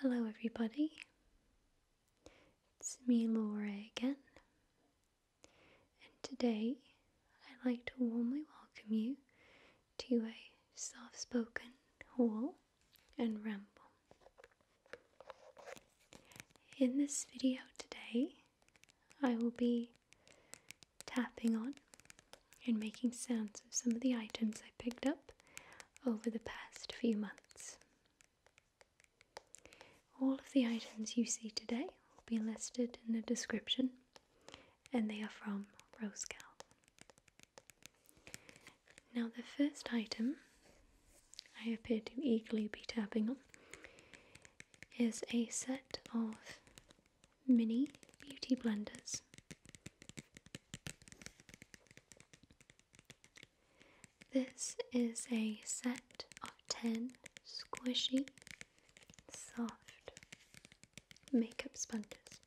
Hello, everybody. It's me, Laura, again, and today I'd like to warmly welcome you to a soft spoken haul and ramble. In this video today, I will be tapping on and making sounds of some of the items I picked up over the past few months. All of the items you see today will be listed in the description and they are from Rosegal. Now, the first item I appear to eagerly be tapping on is a set of mini beauty blenders this is a set of 10 squishy, soft makeup sponges,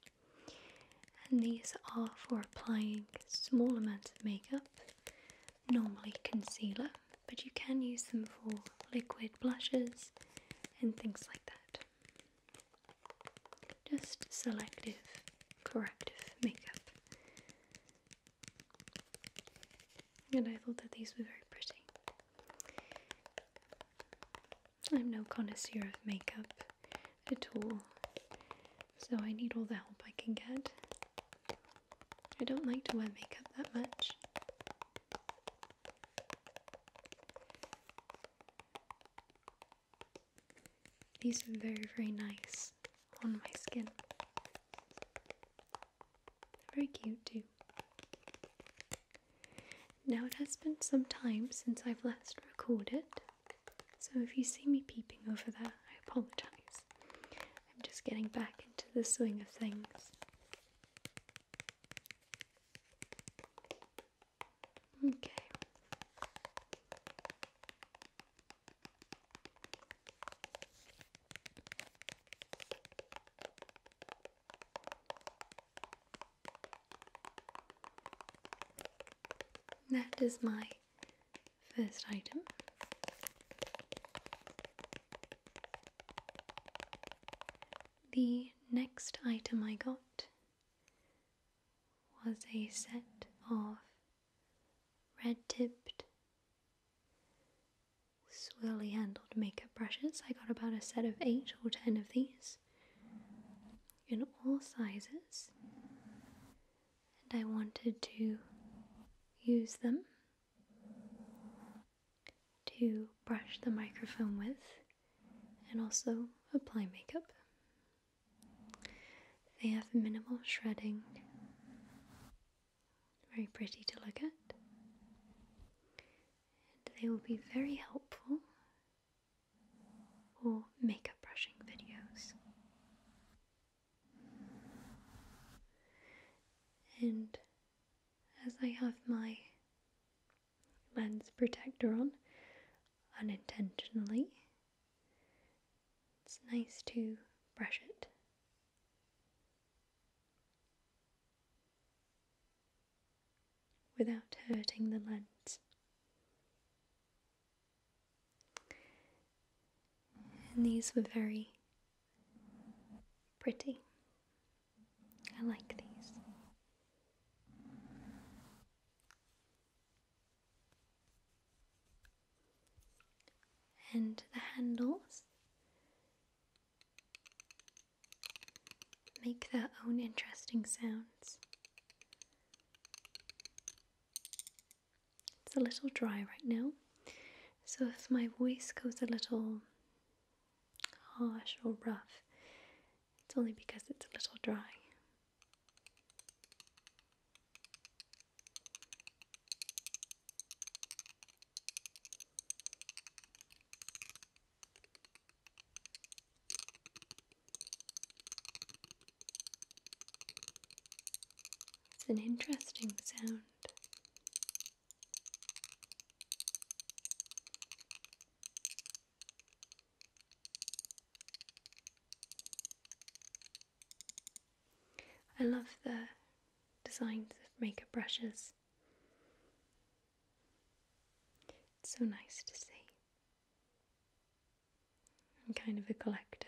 and these are for applying small amounts of makeup, normally concealer, but you can use them for liquid blushes and things like that. Just selective, corrective makeup. And I thought that these were very pretty. I'm no connoisseur of makeup at all, so I need all the help I can get. I don't like to wear makeup that much. These are very, very nice on my skin. Very cute, too. Now, it has been some time since I've last recorded, so if you see me peeping over there, I apologize. I'm just getting back into the swing of things. Okay. That is my first item. The next item I got was a set of red tipped, swirly handled makeup brushes. I got about a set of eight or ten of these in all sizes, and I wanted to use them to brush the microphone with and also apply makeup. They have minimal shredding, very pretty to look at, they will be very helpful for makeup brushing videos. And as I have my Lens protector on unintentionally. It's nice to brush it. without hurting the lens. And these were very pretty. I like these and the handles make their own interesting sounds. It's a little dry right now, so if my voice goes a little harsh or rough, it's only because it's a little dry. It's an interesting sound. I love the designs of makeup brushes. It's so nice to see. I'm kind of a collector.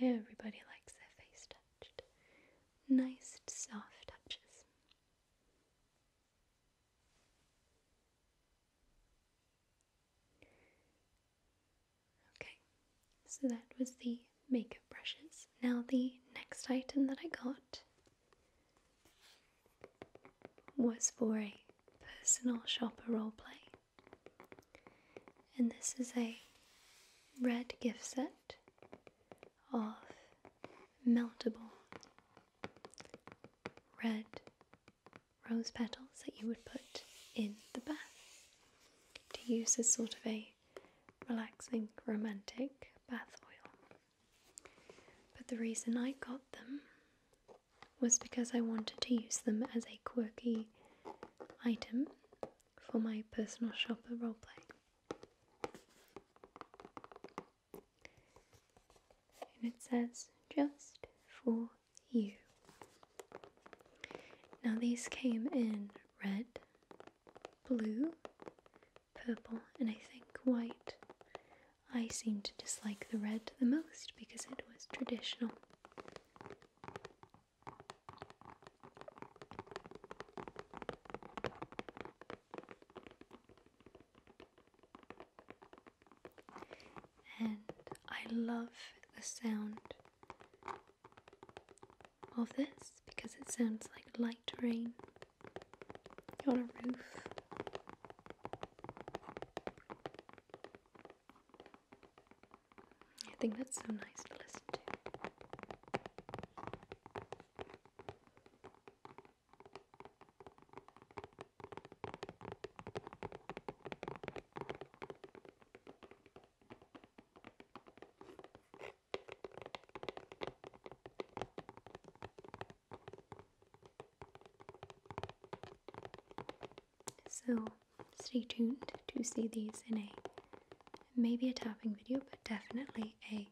Everybody likes their face touched. Nice, soft touches. Okay, so that was the makeup brushes. Now, the next item that I got was for a personal shopper role play. And this is a red gift set of meltable red rose petals that you would put in the bath to use as sort of a relaxing romantic bath oil. But the reason I got them was because I wanted to use them as a quirky item for my personal shopper roleplay. And it says just for you. Now these came in red, blue, purple, and I think white. I seem to dislike the red the most because it was traditional. And I love the sound of this because it sounds like light rain on a roof. I think that's so nice to listen to. So stay tuned to see these in a maybe a tapping video, but definitely a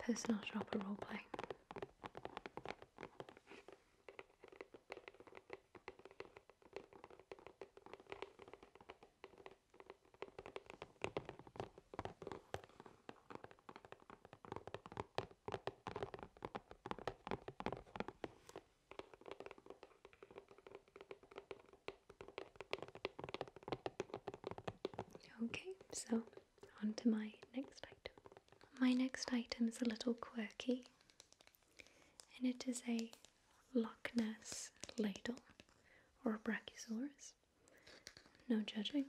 personal shop shopper roleplay. Okay, so on to my next item. My next item is a little quirky and it is a Loch ladle or a Brachiosaurus. No judging.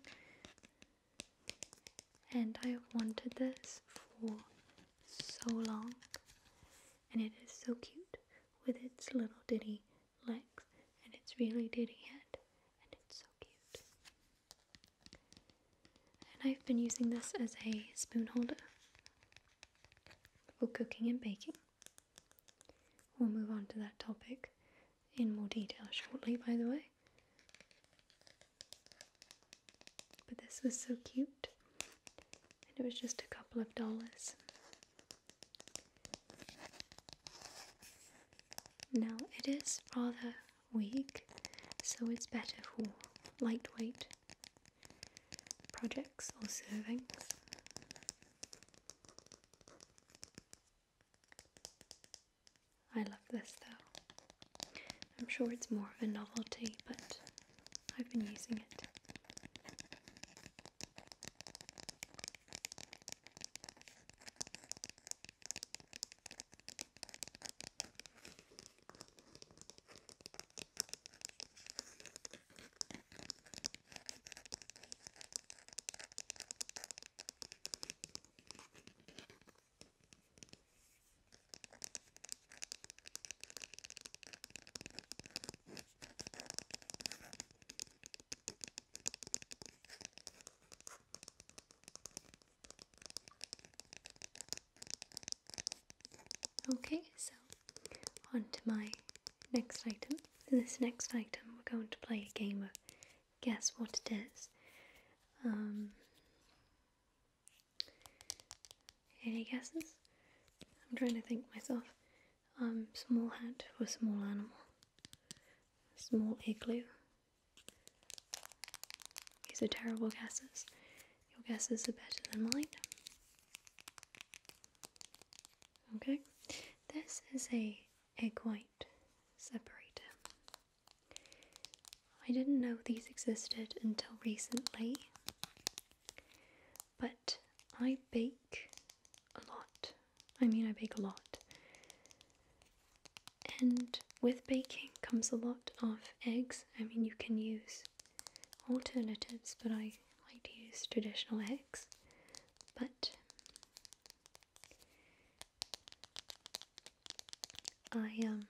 And I wanted this for so long and it is so cute with its little ditty legs and its really ditty head, and it's so cute. And I've been using this as a spoon holder for cooking and baking. We'll move on to that topic in more detail shortly, by the way. But this was so cute, and it was just a couple of dollars. Now it is rather weak, so it's better for lightweight projects or servings. I love this though. I'm sure it's more of a novelty, but I've been using it. Okay, so on to my next item. In this next item, we're going to play a game of guess what it is. Um, any guesses? I'm trying to think myself. Um, small hat for small animal. Small igloo. These are terrible guesses. Your guesses are better than mine. Okay, this is a egg white separator. I didn't know these existed until recently. But I bake a lot. I mean, I bake a lot. And with baking comes a lot of eggs. I mean, you can use alternatives, but I like to use traditional eggs. But I um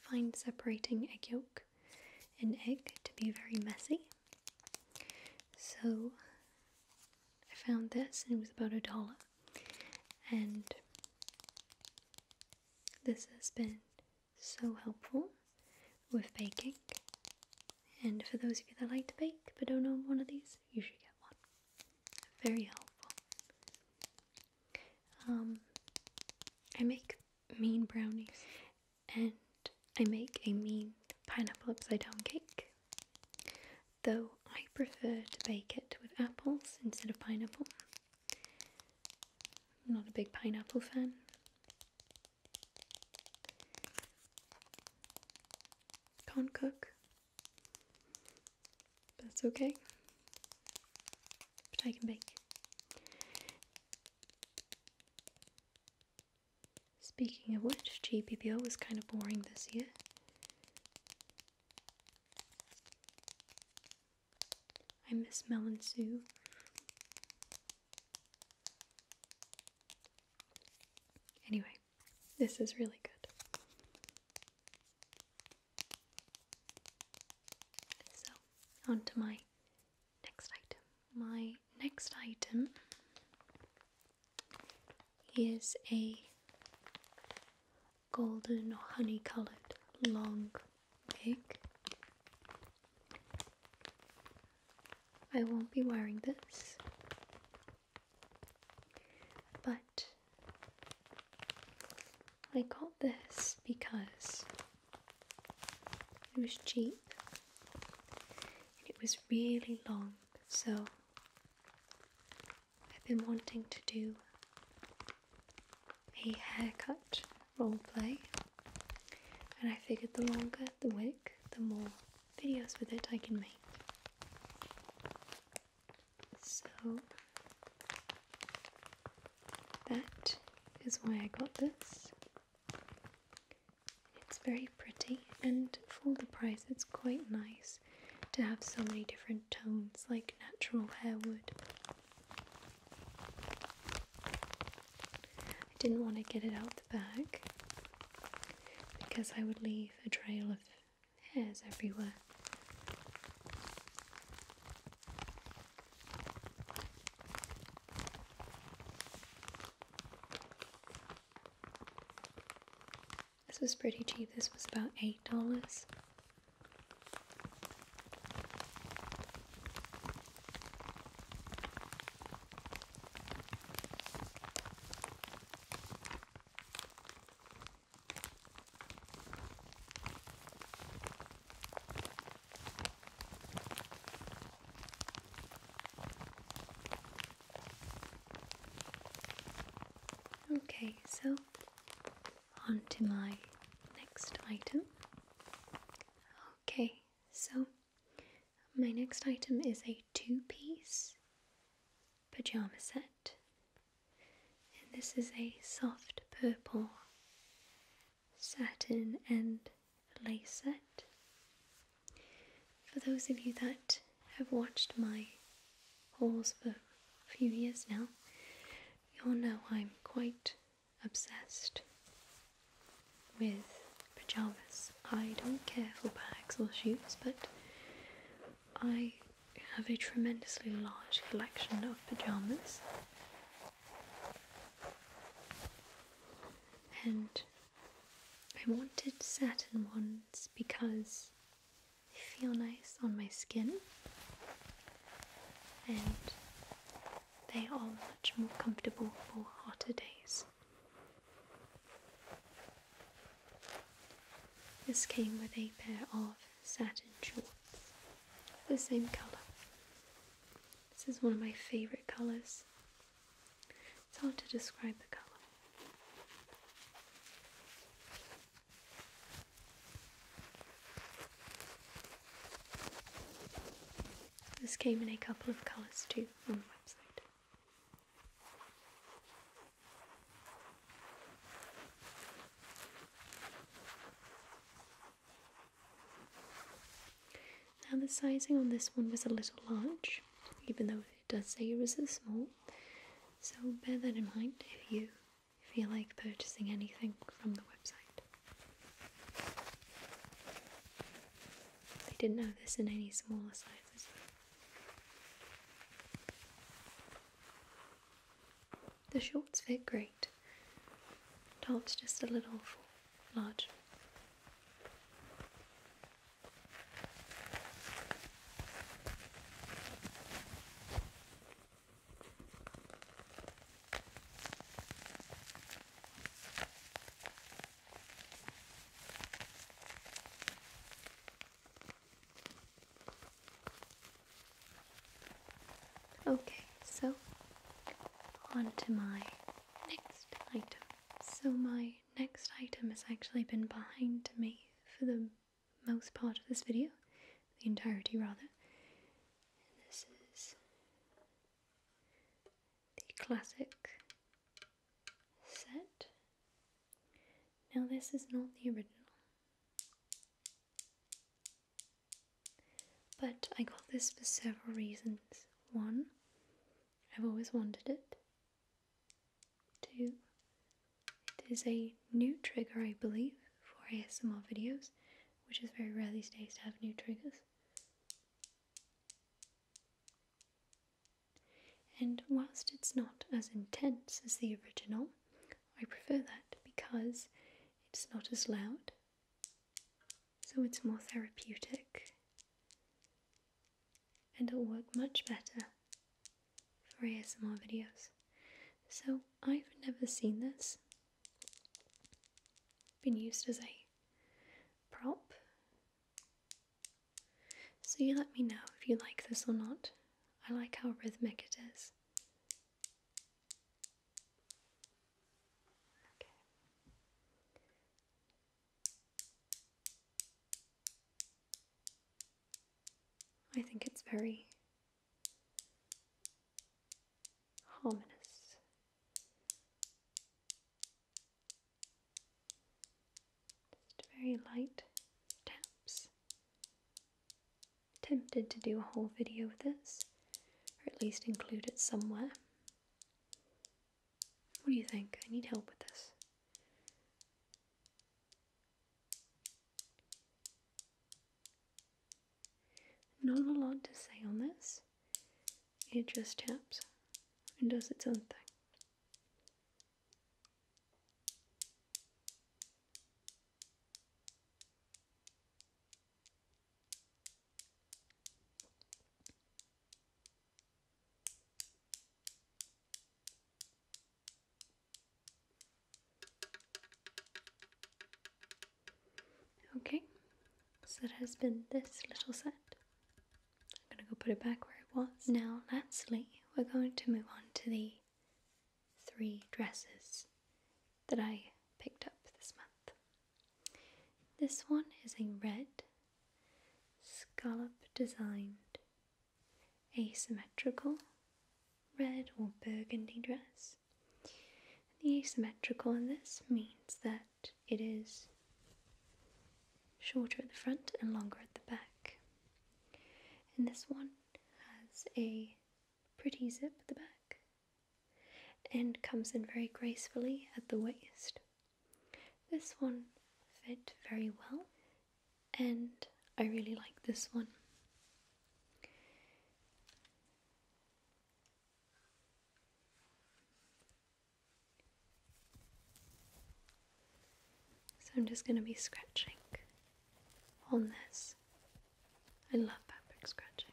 Find separating egg yolk and egg to be very messy. So I found this and it was about a dollar. And this has been so helpful with baking. And for those of you that like to bake but don't own one of these, you should get one. Very helpful. Um, I make mean brownies. And I make a mean pineapple upside down cake. Though I prefer to bake it with apples instead of pineapple. I'm not a big pineapple fan. Can't cook. That's okay. But I can bake. Speaking of which, GPPO was kind of boring this year. I miss Mel and Sue. Anyway, this is really good. So, on my next item. My next item is a golden honey coloured long wig. I won't be wearing this, but I got this because it was cheap and it was really long, so I've been wanting to do a haircut role play, and I figured the longer the wig, the more videos with it I can make. So that is why I got this. It's very pretty, and for the price, it's quite nice to have so many different tones like natural hair would. I didn't want to get it out the bag because I would leave a trail of hairs everywhere. This was pretty cheap, this was about $8. Okay, so on to my next item. Okay, so my next item is a two piece pajama set and this is a soft purple satin and lace set. For those of you that have watched my hauls for a few years now, you'll know I'm quite obsessed with pajamas. I don't care for bags or shoes, but I have a tremendously large collection of pajamas and I wanted satin ones because they feel nice on my skin and they are much more comfortable for hotter days. This came with a pair of satin shorts, the same colour. This is one of my favourite colours. It's hard to describe the colour. This came in a couple of colours too on the website. Now the sizing on this one was a little large, even though it does say it was a small. So bear that in mind if you feel like purchasing anything from the website. They didn't have this in any smaller sizes. The shorts fit great. Top's just a little full, large. Okay, so on to my next item. So, my next item has actually been behind me for the most part of this video, the entirety rather. this is the classic set. Now, this is not the original. But I got this for several reasons. One, I've always wanted it. Two, it is a new trigger, I believe, for ASMR videos, which is very rare these days to have new triggers. And whilst it's not as intense as the original, I prefer that because it's not as loud, so it's more therapeutic and it'll work much better for ASMR videos. So I've never seen this been used as a prop. So you let me know if you like this or not. I like how rhythmic it is. I think it's very harmonious. Just very light taps tempted to do a whole video with this, or at least include it somewhere. What do you think? I need help with this. Not a lot to say on this. It just taps and does its own thing. Okay, so it has been this little set. I'm going to go put it back where it was. Now, lastly, we're going to move on to the three dresses that I picked up this month. This one is a red, scallop designed, asymmetrical red or burgundy dress. The asymmetrical in this means that it is shorter at the front and longer at the back. And this one has a pretty zip at the back and comes in very gracefully at the waist. This one fit very well and I really like this one. So I'm just going to be scratching on this. I love fabric scratching.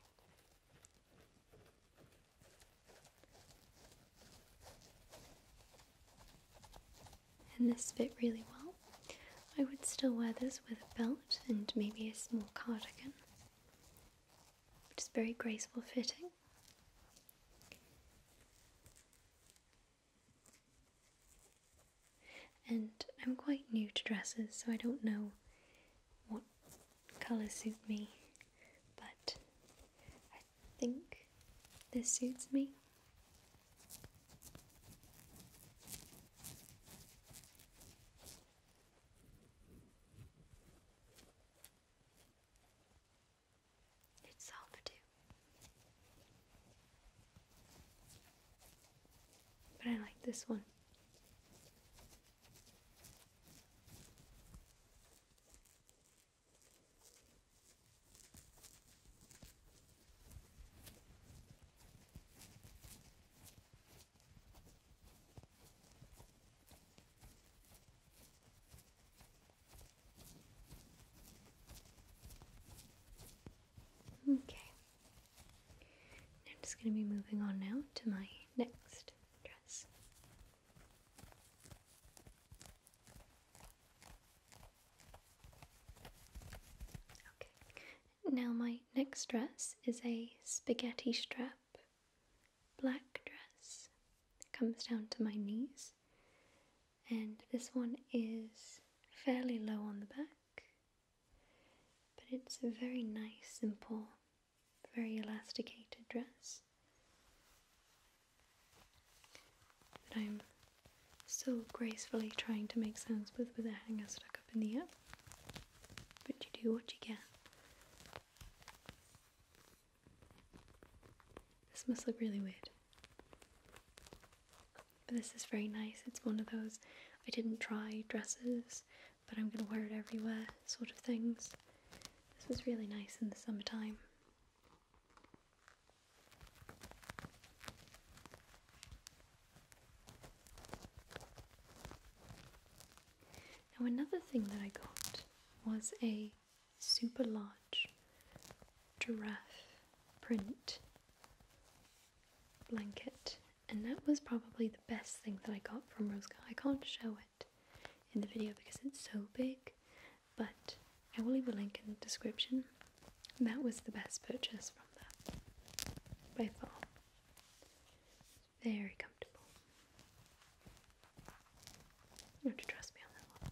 And this fit really well. I would still wear this with a belt and maybe a small cardigan. which is very graceful fitting. And I'm quite new to dresses, so I don't know what colours suit me, but I think this suits me. It's all too. But I like this one. Okay. I'm just going to be moving on now to my next dress. Okay. Now, my next dress is a spaghetti strap black dress. It comes down to my knees and this one is fairly low on the back, but it's a very nice, simple, very elasticated dress. That I'm so gracefully trying to make sounds with with a hanger stuck up in the air, but you do what you can. This must look really weird. But this is very nice. It's one of those I didn't try dresses, but I'm gonna wear it everywhere sort of things. This was really nice in the summertime. Now, another thing that I got was a super large giraffe print blanket, and that was probably the best thing that I got from Rose Rosca. I can't show it in the video because it's so big, but I will leave a link in the description. That was the best purchase from that by far. Very comfortable. You have to trust me on that one.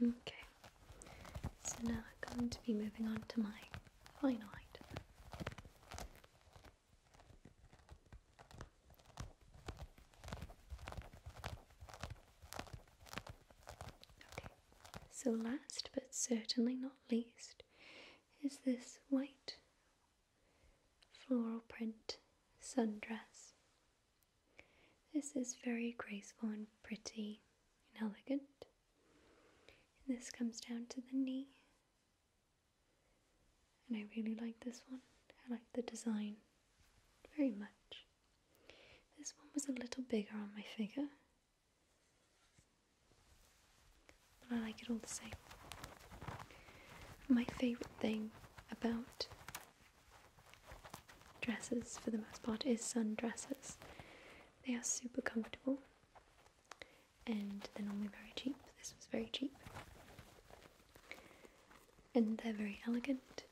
Okay, so now I'm going to be moving on to my final Okay, so last but certainly not least is this white floral print sundress. This is very graceful and pretty and elegant. And this comes down to the knee. And I really like this one. I like the design very much. This one was a little bigger on my figure, but I like it all the same. My favourite thing about dresses, for the most part, is sundresses. They are super comfortable and they're normally very cheap. This was very cheap. And they're very elegant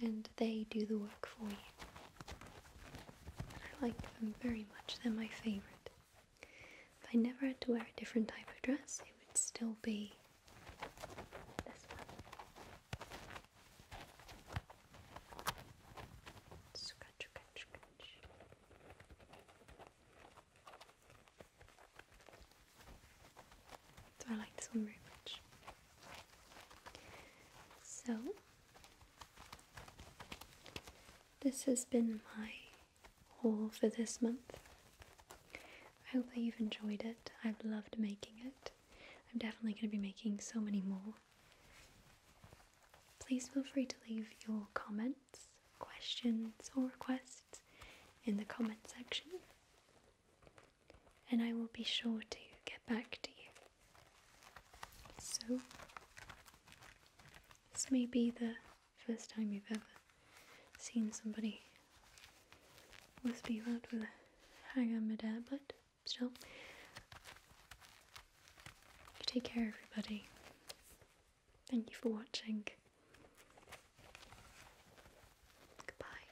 and they do the work for you. I like them very much, they're my favourite. If I never had to wear a different type of dress, it would still be this one. So I like this one very much. So this has been my haul for this month. I hope that you've enjoyed it. I've loved making it. I'm definitely going to be making so many more. Please feel free to leave your comments, questions, or requests in the comment section, and I will be sure to get back to you. So, this may be the first time you've ever seen somebody wispy about with a hang on, my dad. but still, take care, everybody. Thank you for watching. Goodbye.